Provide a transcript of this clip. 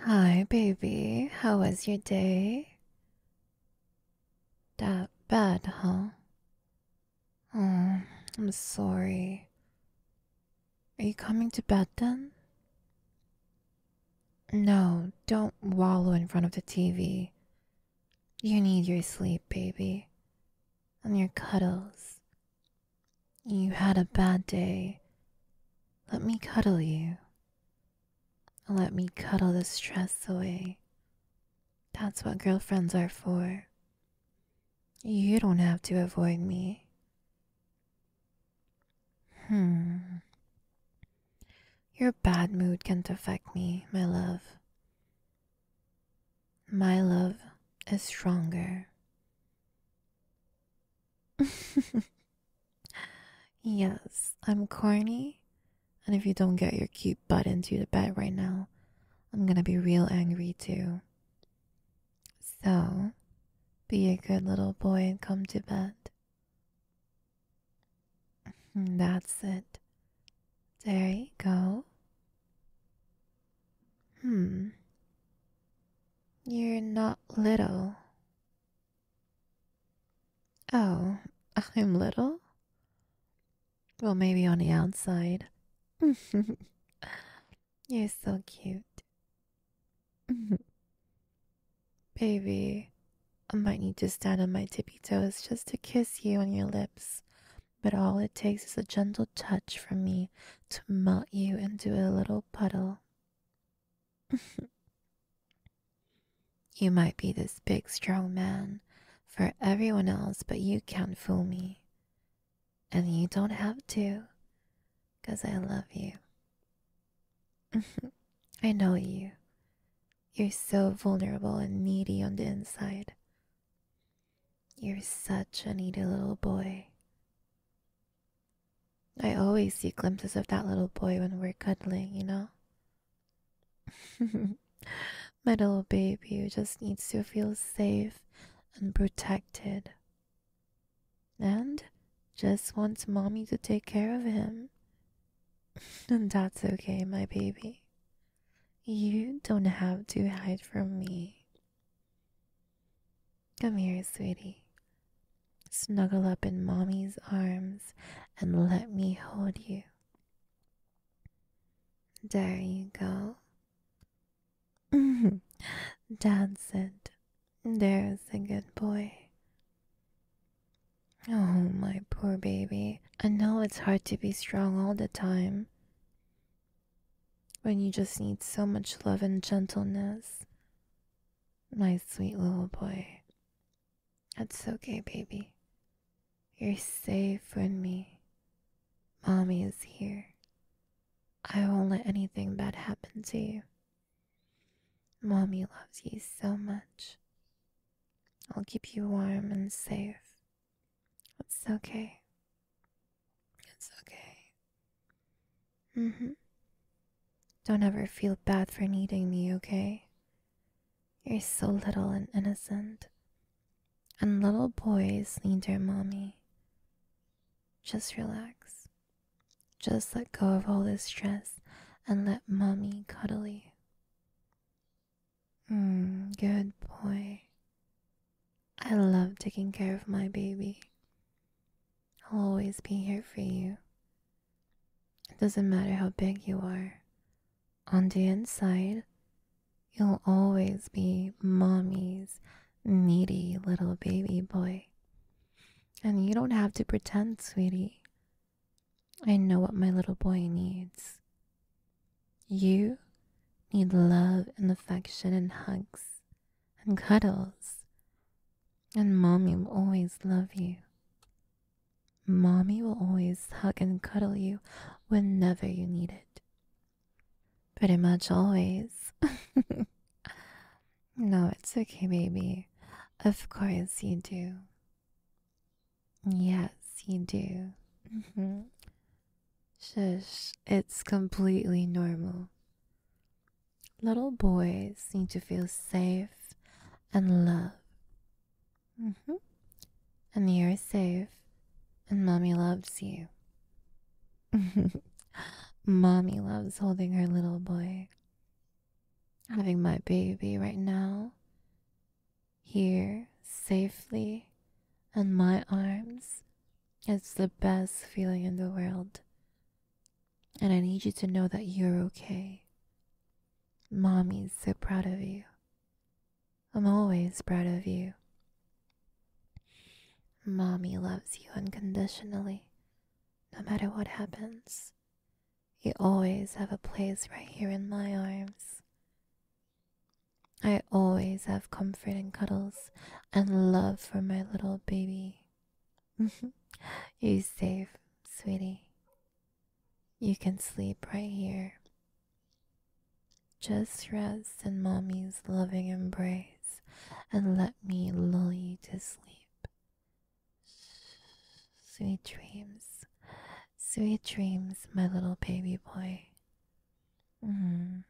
Hi, baby. How was your day? That bad, huh? Oh, I'm sorry. Are you coming to bed then? No, don't wallow in front of the TV. You need your sleep, baby and your cuddles. You had a bad day. Let me cuddle you. Let me cuddle the stress away. That's what girlfriends are for. You don't have to avoid me. Hmm. Your bad mood can't affect me, my love. My love is stronger. yes, I'm corny, and if you don't get your cute butt into the bed right now, I'm gonna be real angry too. So, be a good little boy and come to bed. Mm, that's it. There you go. Hmm. You're not little. Oh, I'm little? Well, maybe on the outside. You're so cute. Baby, I might need to stand on my tippy toes just to kiss you on your lips, but all it takes is a gentle touch from me to melt you into a little puddle. you might be this big, strong man for everyone else, but you can't fool me. And you don't have to, 'cause I love you. I know you. You're so vulnerable and needy on the inside. You're such a needy little boy. I always see glimpses of that little boy when we're cuddling, you know? My little baby just needs to feel safe and protected and just wants mommy to take care of him. and that's okay, my baby. You don't have to hide from me. Come here, sweetie. Snuggle up in mommy's arms and let me hold you. There you go. That's it. There's a good boy. Oh, my poor baby. I know it's hard to be strong all the time when you just need so much love and gentleness. My sweet little boy. That's okay, baby. You're safe with me. Mommy is here. I won't let anything bad happen to you. Mommy loves you so much. I'll keep you warm and safe. It's okay. It's okay. Mm hmm. Don't ever feel bad for needing me, okay? You're so little and innocent. And little boys need their mommy. Just relax. Just let go of all this stress and let mommy cuddle you. Hmm, good boy. I love taking care of my baby. I'll always be here for you. It doesn't matter how big you are. On the inside, You'll always be mommy's needy little baby boy. And you don't have to pretend, sweetie. I know what my little boy needs. You need love and affection and hugs and cuddles. And mommy will always love you. Mommy will always hug and cuddle you whenever you need it. Pretty much always. no, it's okay, baby. Of course you do. Yes, you do. Mm-hmm. Shush, it's completely normal. Little boys need to feel safe and loved. Mm-hmm. And you're safe. And mommy loves you. mommy loves holding her little boy. Having my baby right now. Here, safely, in my arms. It's the best feeling in the world. And I need you to know that you're okay. Mommy's so proud of you. I'm always proud of you. Mommy loves you unconditionally, no matter what happens. You always have a place right here in my arms. I always have comfort and cuddles and love for my little baby. You're safe, sweetie. You can sleep right here. Just rest in mommy's loving embrace and let me lull you to sleep. Sweet dreams. Sweet dreams, my little baby boy. Mm.